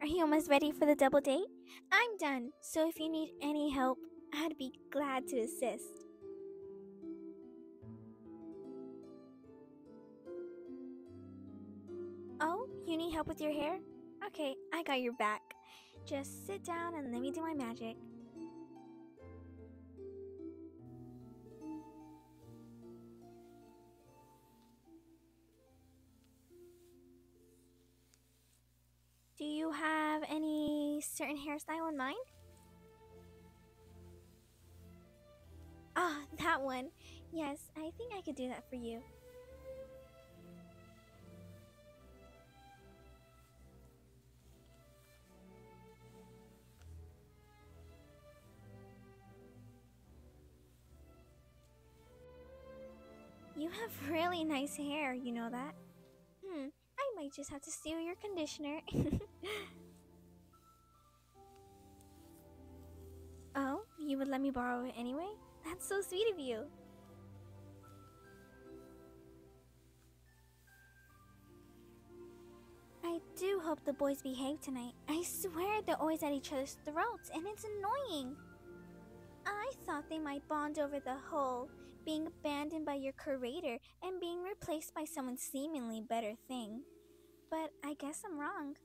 Are you almost ready for the double date? I'm done, so if you need any help, I'd be glad to assist. Oh, you need help with your hair? Okay, I got your back. Just sit down and let me do my magic. Do you have any certain hairstyle in mind? Ah, that one. Yes, I think I could do that for you. You have really nice hair, you know that? Hmm, I might just have to steal your conditioner. oh, you would let me borrow it anyway? That's so sweet of you. I do hope the boys behave tonight. I swear they're always at each other's throats, and it's annoying. I thought they might bond over the whole being abandoned by your curator and being replaced by someone seemingly better thing. But I guess I'm wrong.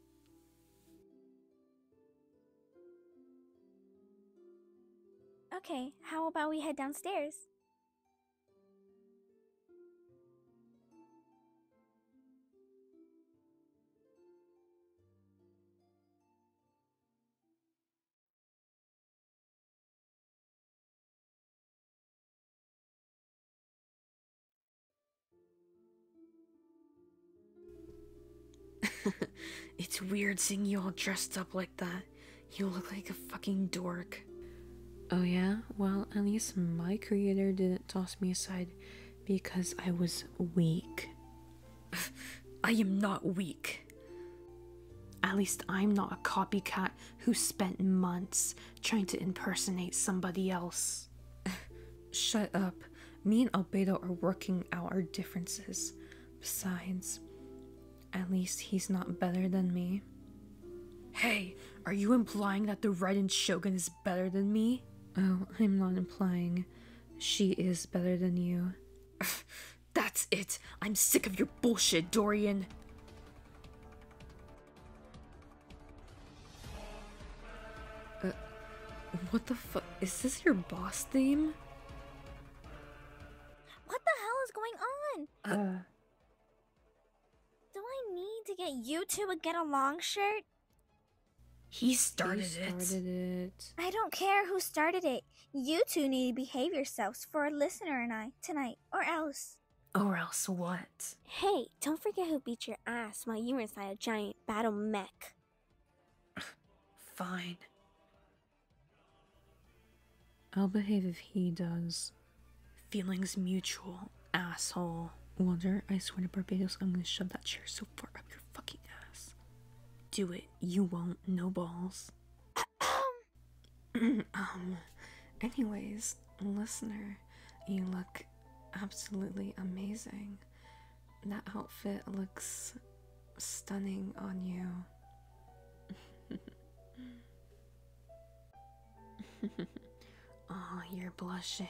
Okay, how about we head downstairs? it's weird seeing you all dressed up like that. You look like a fucking dork. Oh, yeah? Well, at least my creator didn't toss me aside because I was weak. I am not weak. At least I'm not a copycat who spent months trying to impersonate somebody else. Shut up. Me and Albedo are working out our differences. Besides, at least he's not better than me. Hey, are you implying that the Red and Shogun is better than me? Oh, I'm not implying. She is better than you. That's it! I'm sick of your bullshit, Dorian! Uh, what the fuck? Is this your boss theme? What the hell is going on? Uh, do I need to get you two a get along shirt? He started, it. I don't care who started it. You two need to behave yourselves for a listener and I tonight, or else. Or else what? Hey, don't forget who beat your ass while you were inside a giant battle mech. Fine. I'll behave if he does. Feelings mutual, asshole. Wonder, I swear to Barbados, I'm gonna shove that chair so far up your fucking ass. Do it, you won't, no balls. um, anyways, listener, you look absolutely amazing. That outfit looks stunning on you. oh, you're blushing.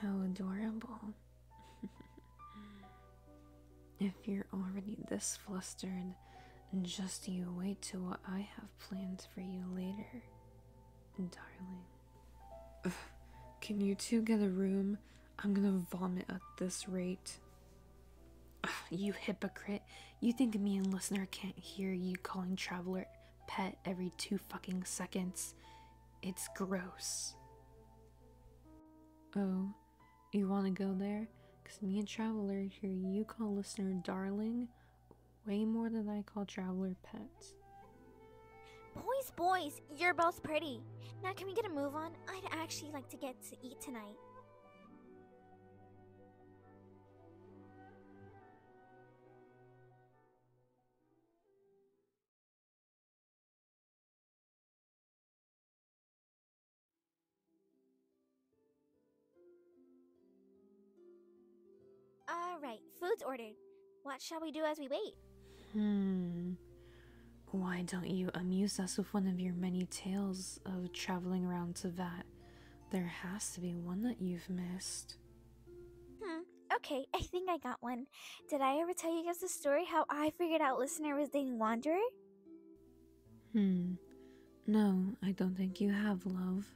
How adorable. if you're already this flustered, just you wait to what I have planned for you later, darling. can you two get a room? I'm gonna vomit at this rate. you hypocrite. You think me and listener can't hear you calling Traveler pet every two fucking seconds. It's gross. Oh, you want to go there? Because me and Traveler here, you call listener darling way more than I call Traveler pet. Boys, boys, you're both pretty. Now can we get a move on? I'd actually like to get to eat tonight. All right, food's ordered. What shall we do as we wait? Hmm. Why don't you amuse us with one of your many tales of traveling around to Vat? There has to be one that you've missed. Hmm. Okay, I think I got one. Did I ever tell you guys the story how I figured out Listener was dating Wanderer? Hmm. No, I don't think you have, love.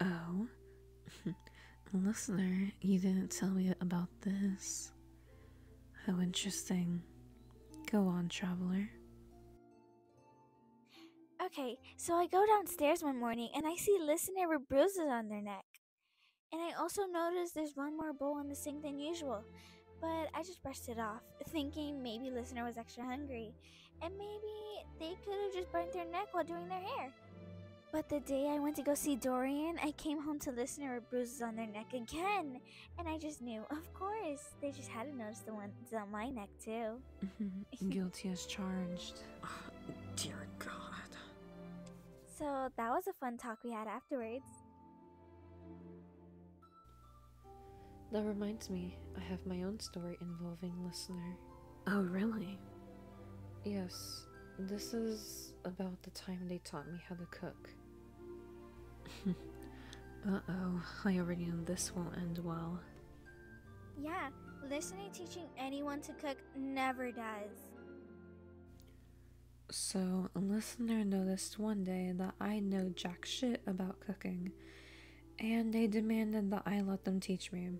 Oh? Listener, you didn't tell me about this. How oh, interesting. Go on, traveler. Okay, so I go downstairs one morning and I see listener with bruises on their neck. And I also noticed there's one more bowl in the sink than usual, but I just brushed it off, thinking maybe listener was extra hungry, and maybe they could have just burnt their neck while doing their hair. But the day I went to go see Dorian, I came home to listener with bruises on their neck again, and I just knew, of course, they just had to notice the ones on my neck too. Mm-hmm. Guilty as charged. dear God. So that was a fun talk we had afterwards. That reminds me, I have my own story involving listener. Oh, really? Yes, this is about the time they taught me how to cook. uh oh, I already know this won't end well. Yeah, listening teaching anyone to cook never does. So, a listener noticed one day that I know jack shit about cooking, and they demanded that I let them teach me.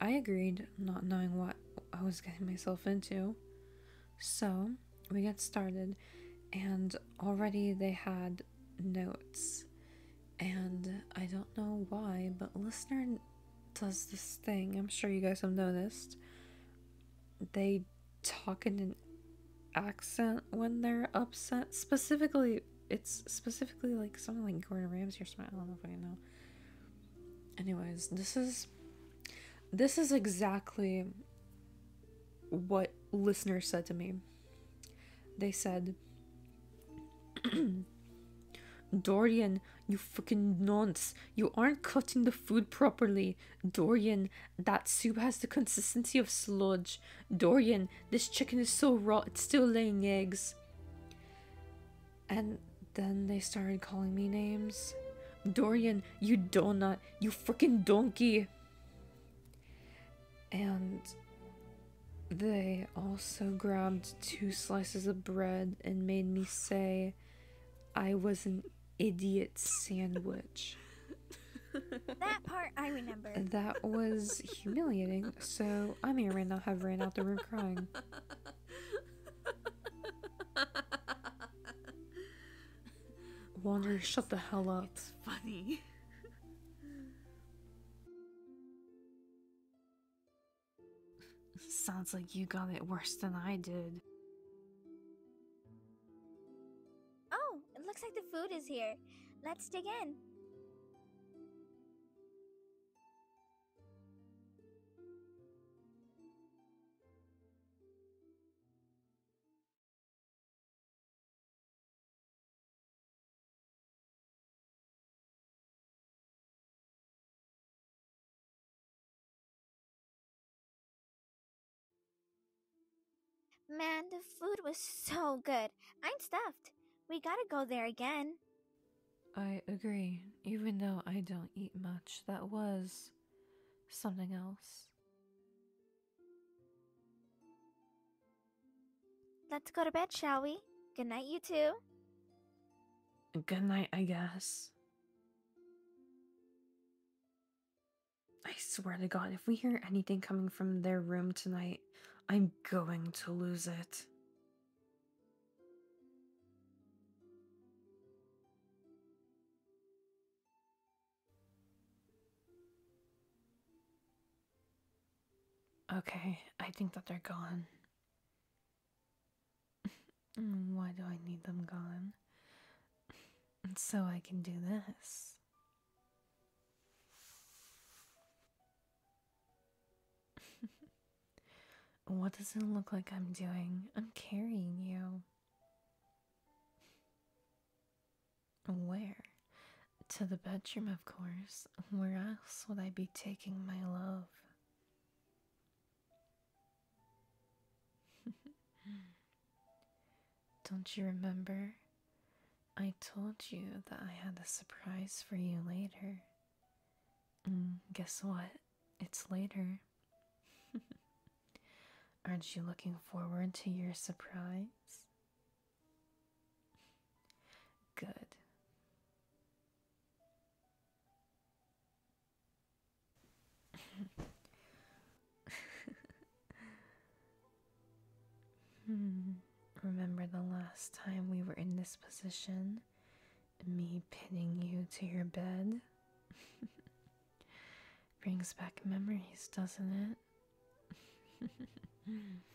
I agreed, not knowing what I was getting myself into. So, we got started, and already they had notes. And I don't know why, but Listener does this thing, I'm sure you guys have noticed. They talk in an accent when they're upset. Specifically, it's specifically like someone like Gordon Ramsay or I don't know. Anyways, this is this is exactly what listener said to me. They said, Dorian, you fucking nonce. You aren't cutting the food properly. Dorian, that soup has the consistency of sludge. Dorian, this chicken is so raw it's still laying eggs. And then they started calling me names. Dorian, you donut, you fucking donkey. And they also grabbed two slices of bread and made me say I was an idiot sandwich. that part I remember. That was humiliating, so I may or may not have ran out the room crying. Wander, shut the hell up. It's funny. Sounds like you got it worse than I did. Oh, it looks like the food is here. Let's dig in. Man, the food was so good. I'm stuffed. We gotta go there again. I agree. Even though I don't eat much, that was something else. Let's go to bed, shall we? Good night, you two. Good night, I guess. I swear to God, if we hear anything coming from their room tonight, I'm going to lose it. Okay, I think that they're gone. Why do I need them gone? So I can do this. what does it look like I'm doing? I'm carrying you. Where? To the bedroom, of course where else would I be taking my love? Don't you remember? I told you that I had a surprise for you later. Mm, guess what? It's later. Aren't you looking forward to your surprise? Good. Hmm. Remember the last time we were in this position? Me pinning you to your bed? Brings back memories, doesn't it?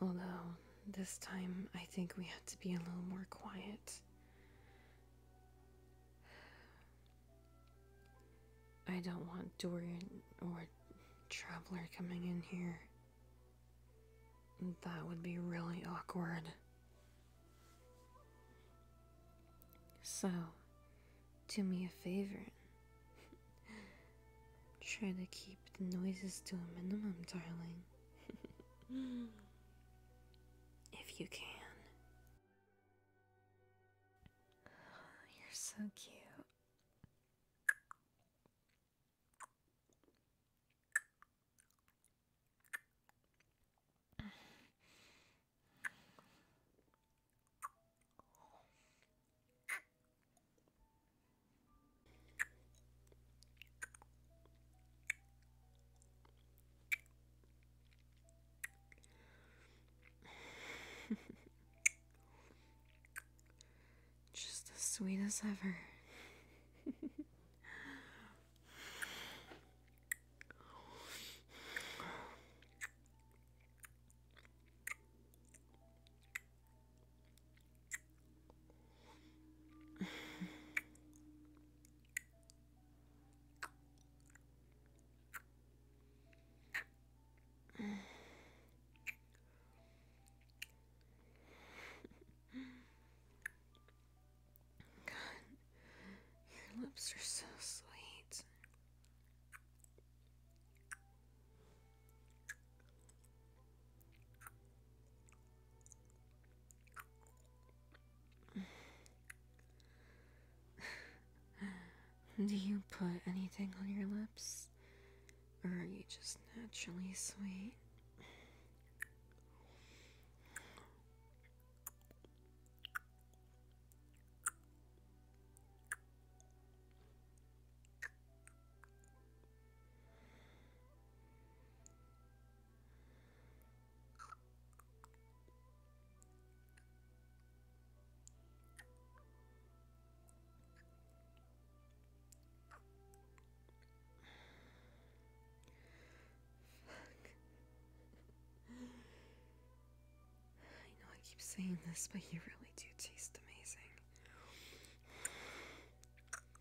Although, this time I think we had to be a little more quiet. I don't want Dorian or Traveler coming in here. That would be really awkward. So, do me a favor. Try to keep the noise is to a minimum, darling. if you can. Oh, you're so cute. Just as sweet as ever. God, your lips are so sweet. Do you put anything on your lips? Or are you just naturally sweet? Fuck. I know I keep saying this, but you really do taste amazing.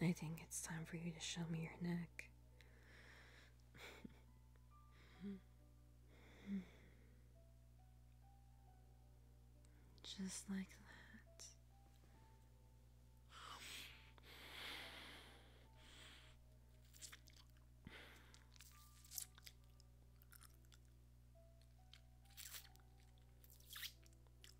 I think it's time for you to show me your neck. Just like that.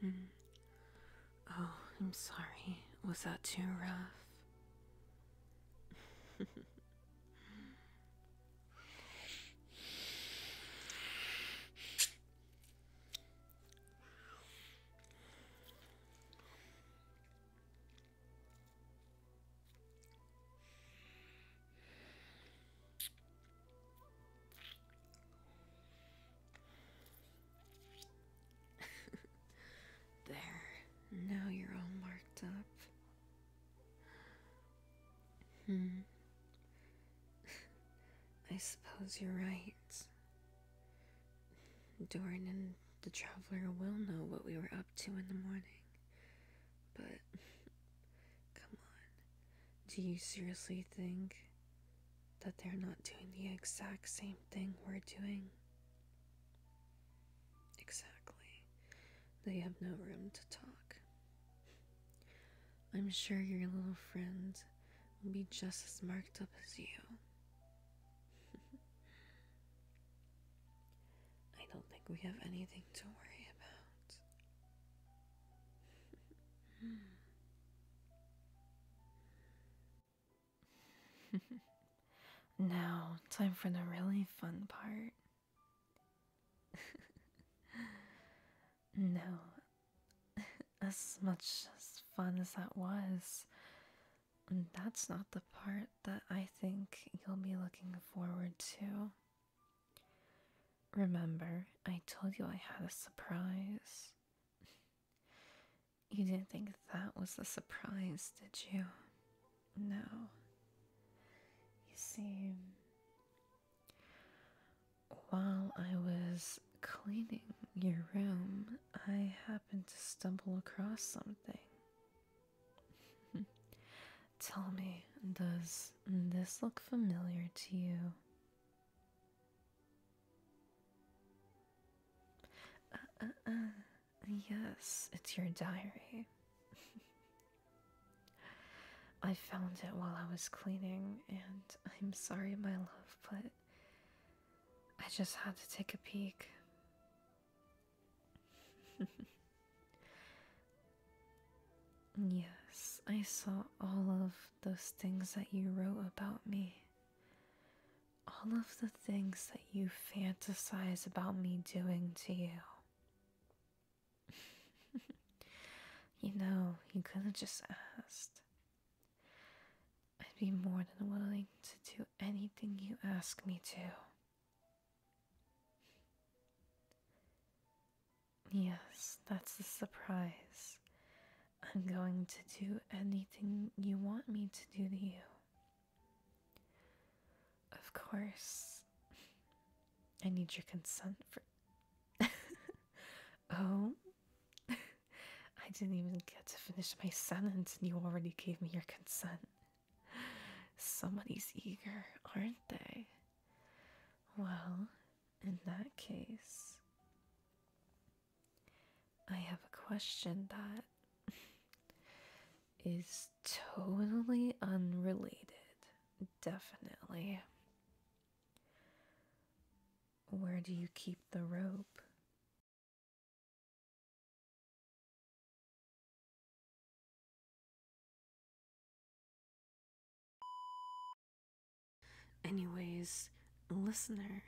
Hmm. Oh, I'm sorry. Was that too rough? there. Now you're all marked up. Hmm. I suppose you're right. Doran and the Traveler will know what we were up to in the morning, but Come on. Do you seriously think that they're not doing the exact same thing we're doing? Exactly. They have no room to talk. I'm sure your little friend will be just as marked up as you. I don't think we have anything to worry about. now, time for the really fun part. no, as much fun as that was, that's not the part that I think you'll be looking forward to. Remember, I told you I had a surprise. you didn't think that was the surprise, did you? No. You see, while I was cleaning your room, I happened to stumble across something. Tell me, does this look familiar to you? Uh, uh, uh, yes, it's your diary. I found it while I was cleaning, and I'm sorry, my love, but I just had to take a peek. Yes, I saw all of those things that you wrote about me. All of the things that you fantasize about me doing to you. you know, you could have just asked. I'd be more than willing to do anything you ask me to. Yes, that's the surprise. I'm going to do anything you want me to do to you. Of course. I need your consent for. oh? I didn't even get to finish my sentence and you already gave me your consent. Somebody's eager, aren't they? Well, in that case, I have a question that is totally unrelated, definitely. Where do you keep the rope? Anyways, listener,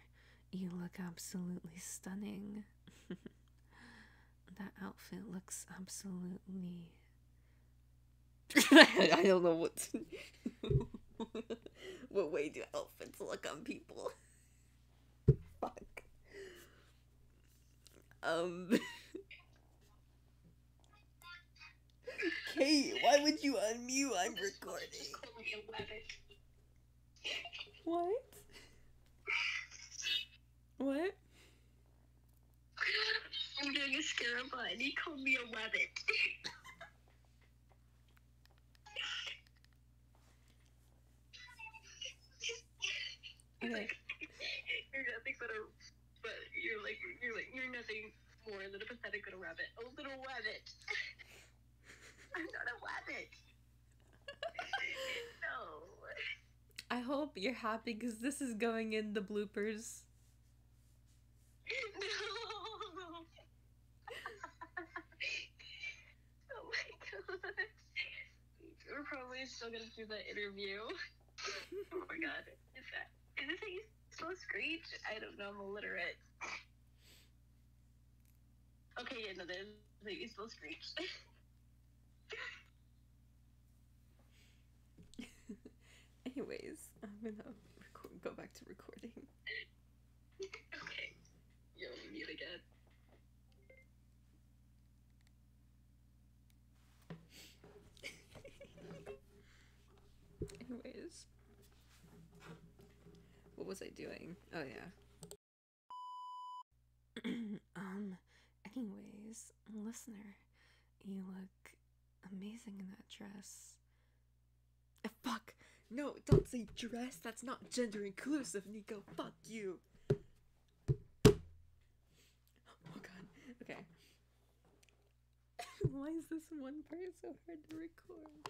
you look absolutely stunning. that outfit looks absolutely. I don't know what. what way do outfits look on people? Fuck. Um. Kate, why would you unmute? I'm recording. What? What? I'm doing a scarabot and he called me a rabbit. okay but you're like you're like you're nothing more than a pathetic little rabbit. A little rabbit. I'm not a rabbit. no. I hope you're happy because this is going in the bloopers. No. oh my god. We're probably still gonna do that interview. oh my god. Is that is this so screech. I don't know. I'm illiterate. Okay, yeah, no, there's maybe still screech. Anyways, I'm gonna go back to recording. okay. Yo, we meet again. Anyways. What was I doing? Oh yeah. um, anyways, listener, you look amazing in that dress. Eh, fuck! No, don't say dress! That's not gender inclusive, Nico! Fuck you! Oh god. Okay. Why is this one part so hard to record?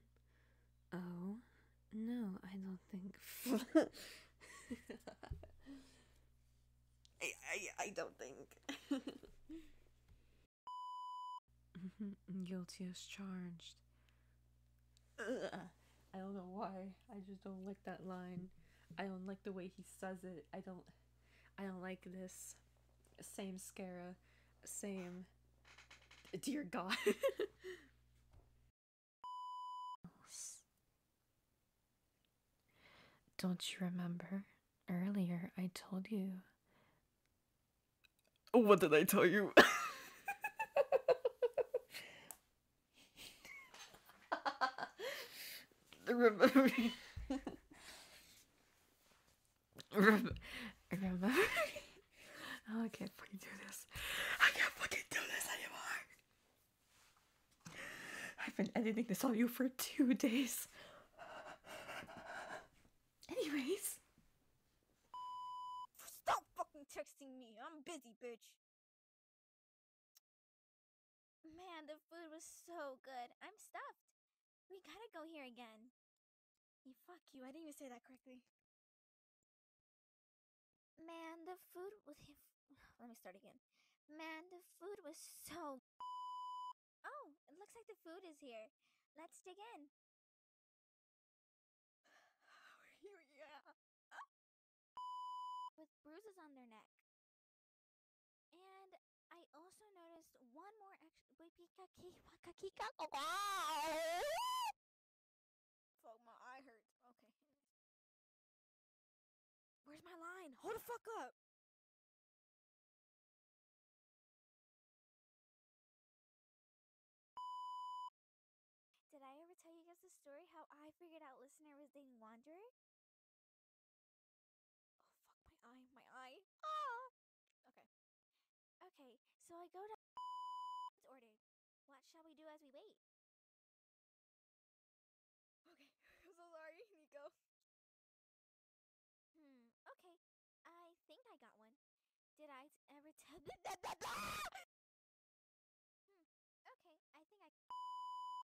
oh, no, I don't think. I, I, I don't think. Guilty as charged. I don't know why. I just don't like that line. I don't like the way he says it. I don't I don't like this. Same Scara, same dear god. Don't you remember? Earlier I told you. What did I tell you? remember. remember. remember. Oh, I can't fucking do this. I can't fucking do this anymore. I've been editing this on you for two days. Anyways. Stop fucking texting me. I'm busy, bitch. Man, the food was so good. I'm stuffed. We gotta go here again. Hey, fuck you. I didn't even say that correctly. Man, the food was. Let me start again. Man, the food was so. Oh, it looks like the food is here. Let's dig in. yeah with bruises on their neck. And I also noticed one more Fuck, my eye hurts. Okay. Where's my line? Hold the fuck up! Did I ever tell you guys the story how I figured out Listener was the Wanderer? Oh, fuck my eye, my eye. Ah! Okay. Okay, so I go to ordered. What shall we do as we wait? Okay, so sorry, Nico. Hmm, okay. I think I got one. Did I ever tell hmm, okay, I think I